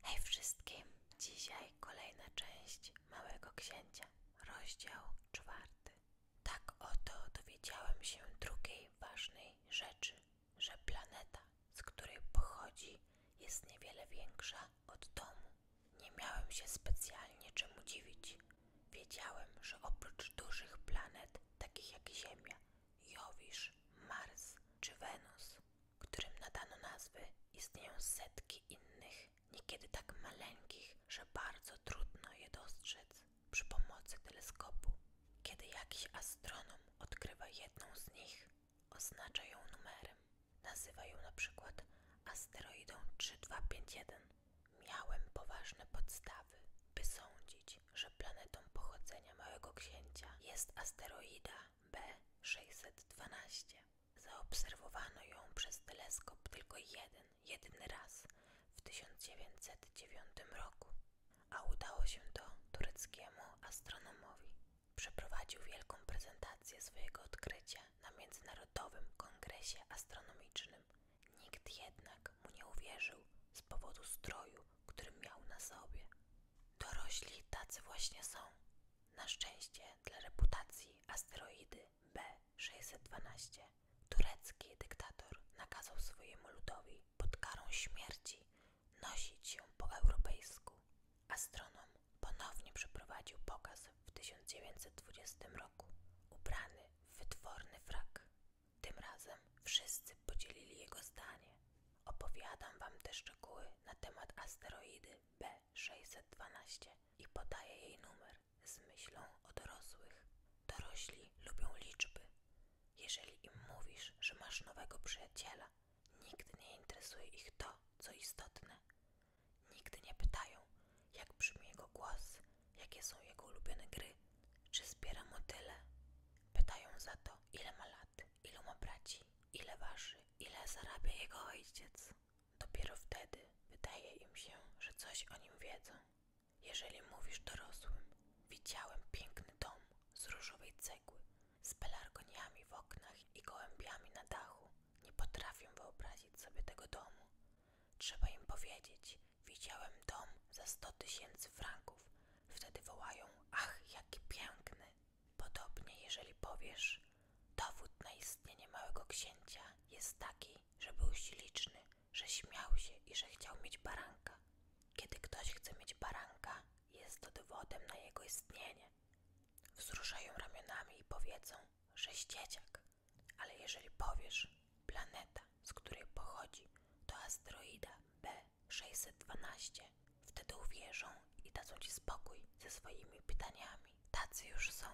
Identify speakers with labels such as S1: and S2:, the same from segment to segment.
S1: Hej wszystkim! Dzisiaj kolejna część Małego Księcia, rozdział czwarty. Tak oto dowiedziałem się drugiej ważnej rzeczy, że planeta, z której pochodzi, jest niewiele większa od domu. Nie miałem się specjalnie czemu dziwić. Wiedziałem, że oprócz dużych planet, takich jak Ziemia, Jowisz, Mars czy Wenus, którym nadano nazwy, istnieją setki innych, niekiedy tak maleńkich, że bardzo trudno je dostrzec przy pomocy teleskopu. Kiedy jakiś astronom odkrywa jedną z nich, oznacza ją numerem. Nazywa ją na przykład asteroidą 3251. Miałem poważne podstawy, by sądzić, że planetą pochodzenia Małego Księcia jest asteroida B612. Zaobserwowano ją przez teleskop tylko jeden, jedyny raz w 1909 roku, a udało się to tureckiemu astronomowi. Przeprowadził wielką prezentację swojego odkrycia na Międzynarodowym Kongresie Astronomicznym. Nikt jednak mu nie uwierzył z powodu stroju mundurek, miał na sobie. Dorośli tacy właśnie są. Na szczęście dla reputacji asteroidy B612 turecki dyktator nakazał swojemu ludowi pod karą śmierci nosić się po europejsku. Astronom ponownie przeprowadził pokaz w 1920 roku, ubrany w wytworny frak. Tym razem wszyscy podzielili jego zdanie. Opowiadam wam te szczegóły na temat asteroidy B612 i podaję jej numer z myślą o dorosłych. Dorośli lubią liczby. Jeżeli im mówisz, że masz nowego przyjaciela, nigdy nie interesuje ich to, co istotne. Nigdy nie pytają, jak brzmi jego głos, jakie są jego ulubione gry, czy zbiera motyle? Pytają za to, ile ma lat, ilu ma braci, ile waży, ile zarabia jego ojciec. Dopiero wtedy wydaje im się, że coś o nim wiedzą. Jeżeli mówisz dorosłym, widziałem piękny dom z różowej cegły, z pelargoniami w oknach i gołębiami na dachu, nie potrafię wyobrazić sobie tego domu. Trzeba im powiedzieć, Widziałem dom za 100 tysięcy franków. Wtedy wołają, ach, jaki piękny. Podobnie, jeżeli powiesz, dowód na istnienie małego księcia jest taki, że był śliczny, że śmiał się i że chciał mieć baranka. Kiedy ktoś chce mieć baranka, jest to dowodem na jego istnienie. Wzruszają ramionami i powiedzą, że ścieciak. Ale jeżeli powiesz planeta, z której pochodzi, to asteroida B612. Wtedy uwierzą i dadzą ci spokój ze swoimi pytaniami. Tacy już są.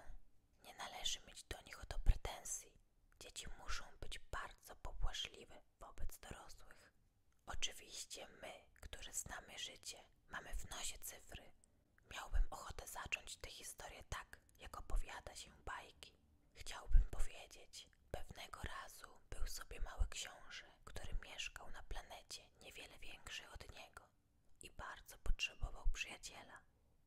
S1: Nie należy mieć do nich o pretensji. Dzieci muszą być bardzo popłaszliwe wobec dorosłych. Oczywiście my, którzy znamy życie, mamy w nosie cyfry. Miałbym ochotę zacząć tę historię tak, jak opowiada się bajki. Chciałbym powiedzieć, pewnego razu był sobie mały książę, który mieszkał na planecie niewiele większej od niego i bardzo potrzebował przyjaciela.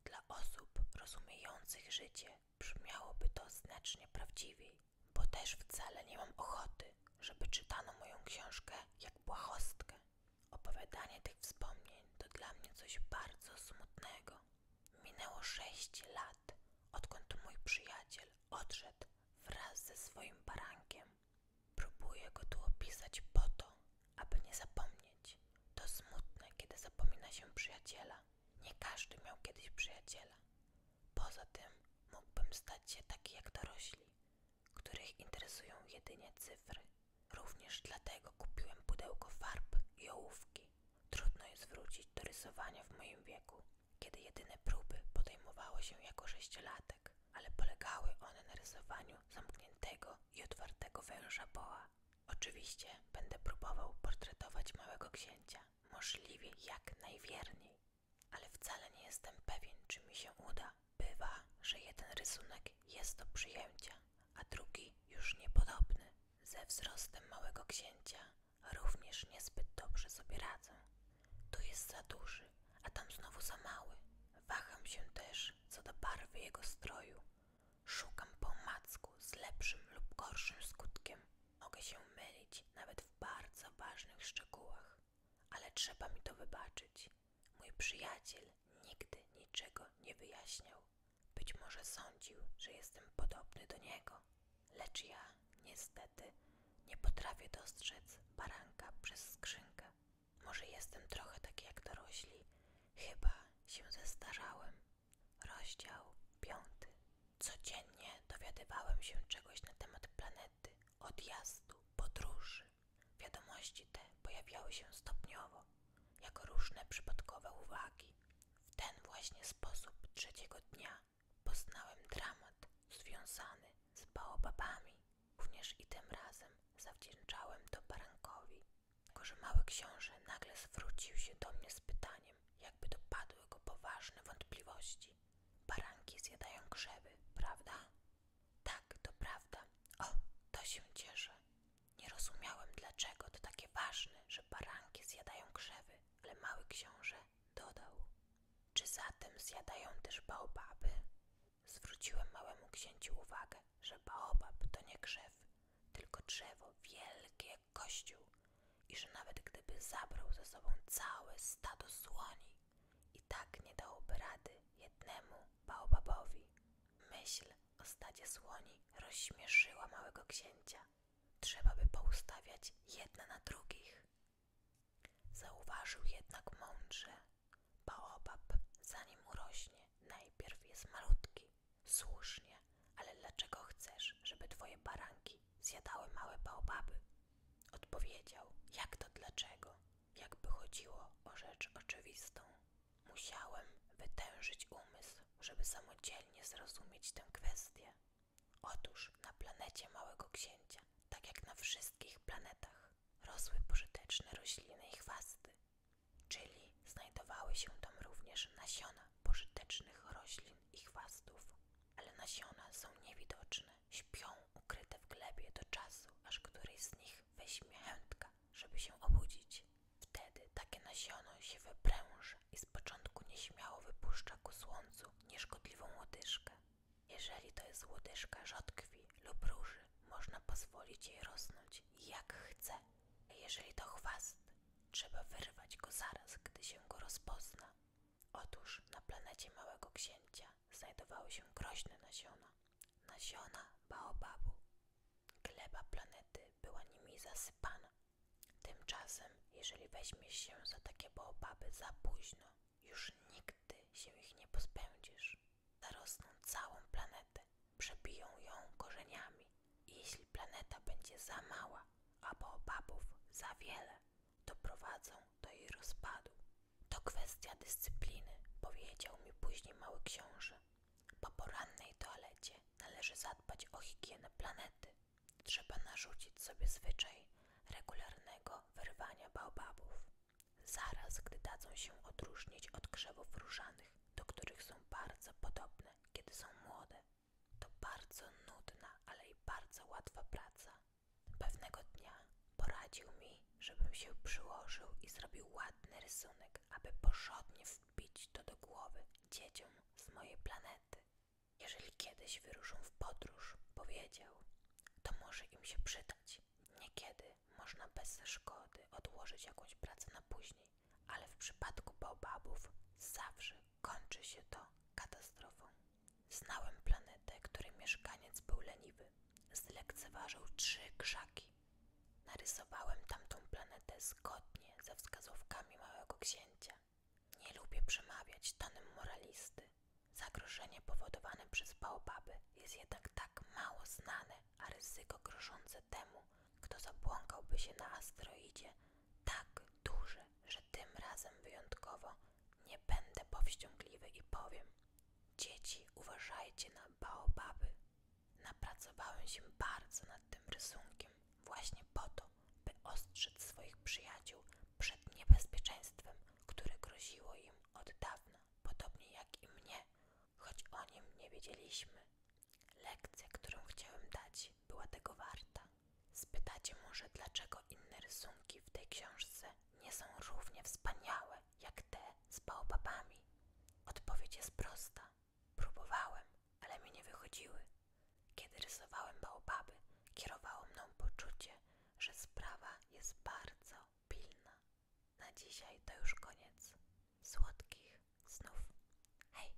S1: Dla osób rozumiejących życie brzmiałoby to znacznie prawdziwiej, bo też wcale nie mam ochoty, żeby czytano moją książkę jak błahostkę. Opowiadanie tych wspomnień to dla mnie coś bardzo smutnego. Minęło sześć lat, odkąd mój przyjaciel odszedł wraz ze swoim barankiem. Próbuję go tu opisać po to, aby nie zapomnieć. To smutne, kiedy zapomina się przyjaciela. Nie każdy miał kiedyś przyjaciela. Poza tym mógłbym stać się taki jak dorośli, których interesują jedynie cyfry. Również dlatego kupiłem pudełko farb i ołówki. Trudno jest wrócić do rysowania w moim wieku, kiedy jedyne próby podejmowało się jako sześciolatek, ale polegały one na rysowaniu zamkniętego i otwartego węża boa. Oczywiście będę próbował portretować małego księcia, możliwie jak najwierniej, ale wcale nie jestem pewien, czy mi się uda. Bywa, że jeden rysunek jest do przyjęcia, a drugi już niepodobny. Ze wzrostem małego księcia również niezbyt dobrze sobie radzę. Tu jest za duży, a tam znowu za mały. Waham się też co do barwy jego stroju. Szukam po z lepszym lub gorszym skutkiem. Mogę się mylić nawet w bardzo ważnych szczegółach, ale trzeba mi to wybaczyć. Mój przyjaciel nigdy niczego nie wyjaśniał. Być może sądził, że jestem podobny do niego, lecz ja, niestety, nie potrafię dostrzec baranka przez skrzynkę. Może jestem trochę taki jak dorośli. Chyba się zestarzałem. Rozdział piąty. Codziennie dowiadywałem się czegoś na temat planety, odjazdu, podróży, Wiadomości te pojawiały się stopniowo, jako różne przypadkowe uwagi. W ten właśnie sposób trzeciego dnia poznałem dramat związany z baobabami. Również i tym razem zawdzięczałem to barankowi. Tylko, mały książę nagle zwrócił się do mnie z pytaniem, jakby dopadły go poważne wątpliwości. Baranki zjadają krzewy, prawda? Tak, to prawda. O, to się cieszę. Nie rozumiałem, dlaczego to takie ważne, że baranki zjadają krzewy, ale mały książę dodał. Czy zatem zjadają też baobaby? Zwróciłem małemu księciu uwagę, że baobab to nie krzew, tylko drzewo wielkie jak kościół i że nawet gdyby zabrał ze sobą całe stado słoni, i tak nie dałoby rady jednemu baobabowi. Myśl o stadzie słoni rozśmieszyła małego księcia. Trzeba by poustawiać jedna na drugich. Zauważył jednak mądrze. Baobab, zanim urośnie, najpierw jest malutki. Słusznie, ale dlaczego chcesz, żeby twoje baranki zjadały małe baobaby? Odpowiedział, jak to dlaczego? Jakby chodziło o rzecz oczywistą. Musiałem wytężyć umysł, żeby samodzielnie zrozumieć tę kwestię. Otóż na planecie Małego Księcia, tak jak na wszystkich planetach, rosły pożyteczne rośliny i chwasty, czyli znajdowały się tam również nasiona pożytecznych roślin i chwastów. Ale nasiona są niewidoczne, śpią ukryte w glebie do czasu, aż któryś z nich weźmie chętka, żeby się obudzić. Wtedy takie nasiono się wypręża i z początku nieśmiało wypuszcza ku słońcu nieszkodliwą łodyżkę. Jeżeli to jest łodyżka rzodkwi lub róży, można pozwolić jej rosnąć jak chce. A jeżeli to chwast, trzeba wyrwać go zaraz, gdy się go rozpozna. Otóż na planecie Małego Księcia znajdowały się groźne nasiona. Nasiona baobabu. Gleba planety była nimi zasypana. Tymczasem, jeżeli weźmiesz się za takie baobaby za późno, już nigdy się ich nie pozbędziesz. Zarosną całą planetę, przebiją ją korzeniami. I jeśli planeta będzie za mała, a baobabów za wiele, doprowadzą do jej rozpadu. To kwestia dyscypliny, powiedział mi później mały książę. Po porannej toalecie należy zadbać o higienę planety. Trzeba narzucić sobie zwyczaj regularnego wyrwania baobabów. Zaraz, gdy dadzą się odróżnić od grzebów różanych, do których są bardzo podobne, kiedy są młode. To bardzo nudna, ale i bardzo łatwa praca. Pewnego dnia poradził mi, żebym się przyłożył i zrobił ładny rysunek, aby porządnie wbić to do głowy dzieciom z mojej planety. Jeżeli kiedyś wyruszą w podróż, powiedział, to może im się przydać. Niekiedy można bez szkody odłożyć jakąś pracę na później, ale w przypadku baobabów zawsze kończy się to katastrofą. Znałem planetę, której mieszkaniec był leniwy. Zlekceważył trzy krzaki. Narysowałem tamtą planetę zgodnie ze wskazówkami małego księcia. Nie lubię przemawiać tonem moralisty. Zagrożenie powodowane przez baobaby jest jednak tak mało znane, a ryzyko grożące temu, kto zabłąkałby się na asteroidzie, tak duże, że tym razem wyjątkowo nie będę powściągliwy i powiem: Dzieci, uważajcie na baobaby. Napracowałem się bardzo nad tym rysunkiem, właśnie po to, by ostrzec swoich przyjaciół przed niebezpieczeństwem, które groziło im od dawna, podobnie jak i mnie, choć o nim nie wiedzieliśmy. Lekcja, którą chciałem dać, była tego warta. Spytacie może, dlaczego inne rysunki w tej książce nie są równie wspaniałe jak te z baobabami. Odpowiedź jest prosta. Próbowałem, ale mi nie wychodziły. Kiedy rysowałem baobaby, kierowało mną poczucie, że sprawa jest bardzo pilna. Na dzisiaj to już koniec. Słodkich snów. Hej!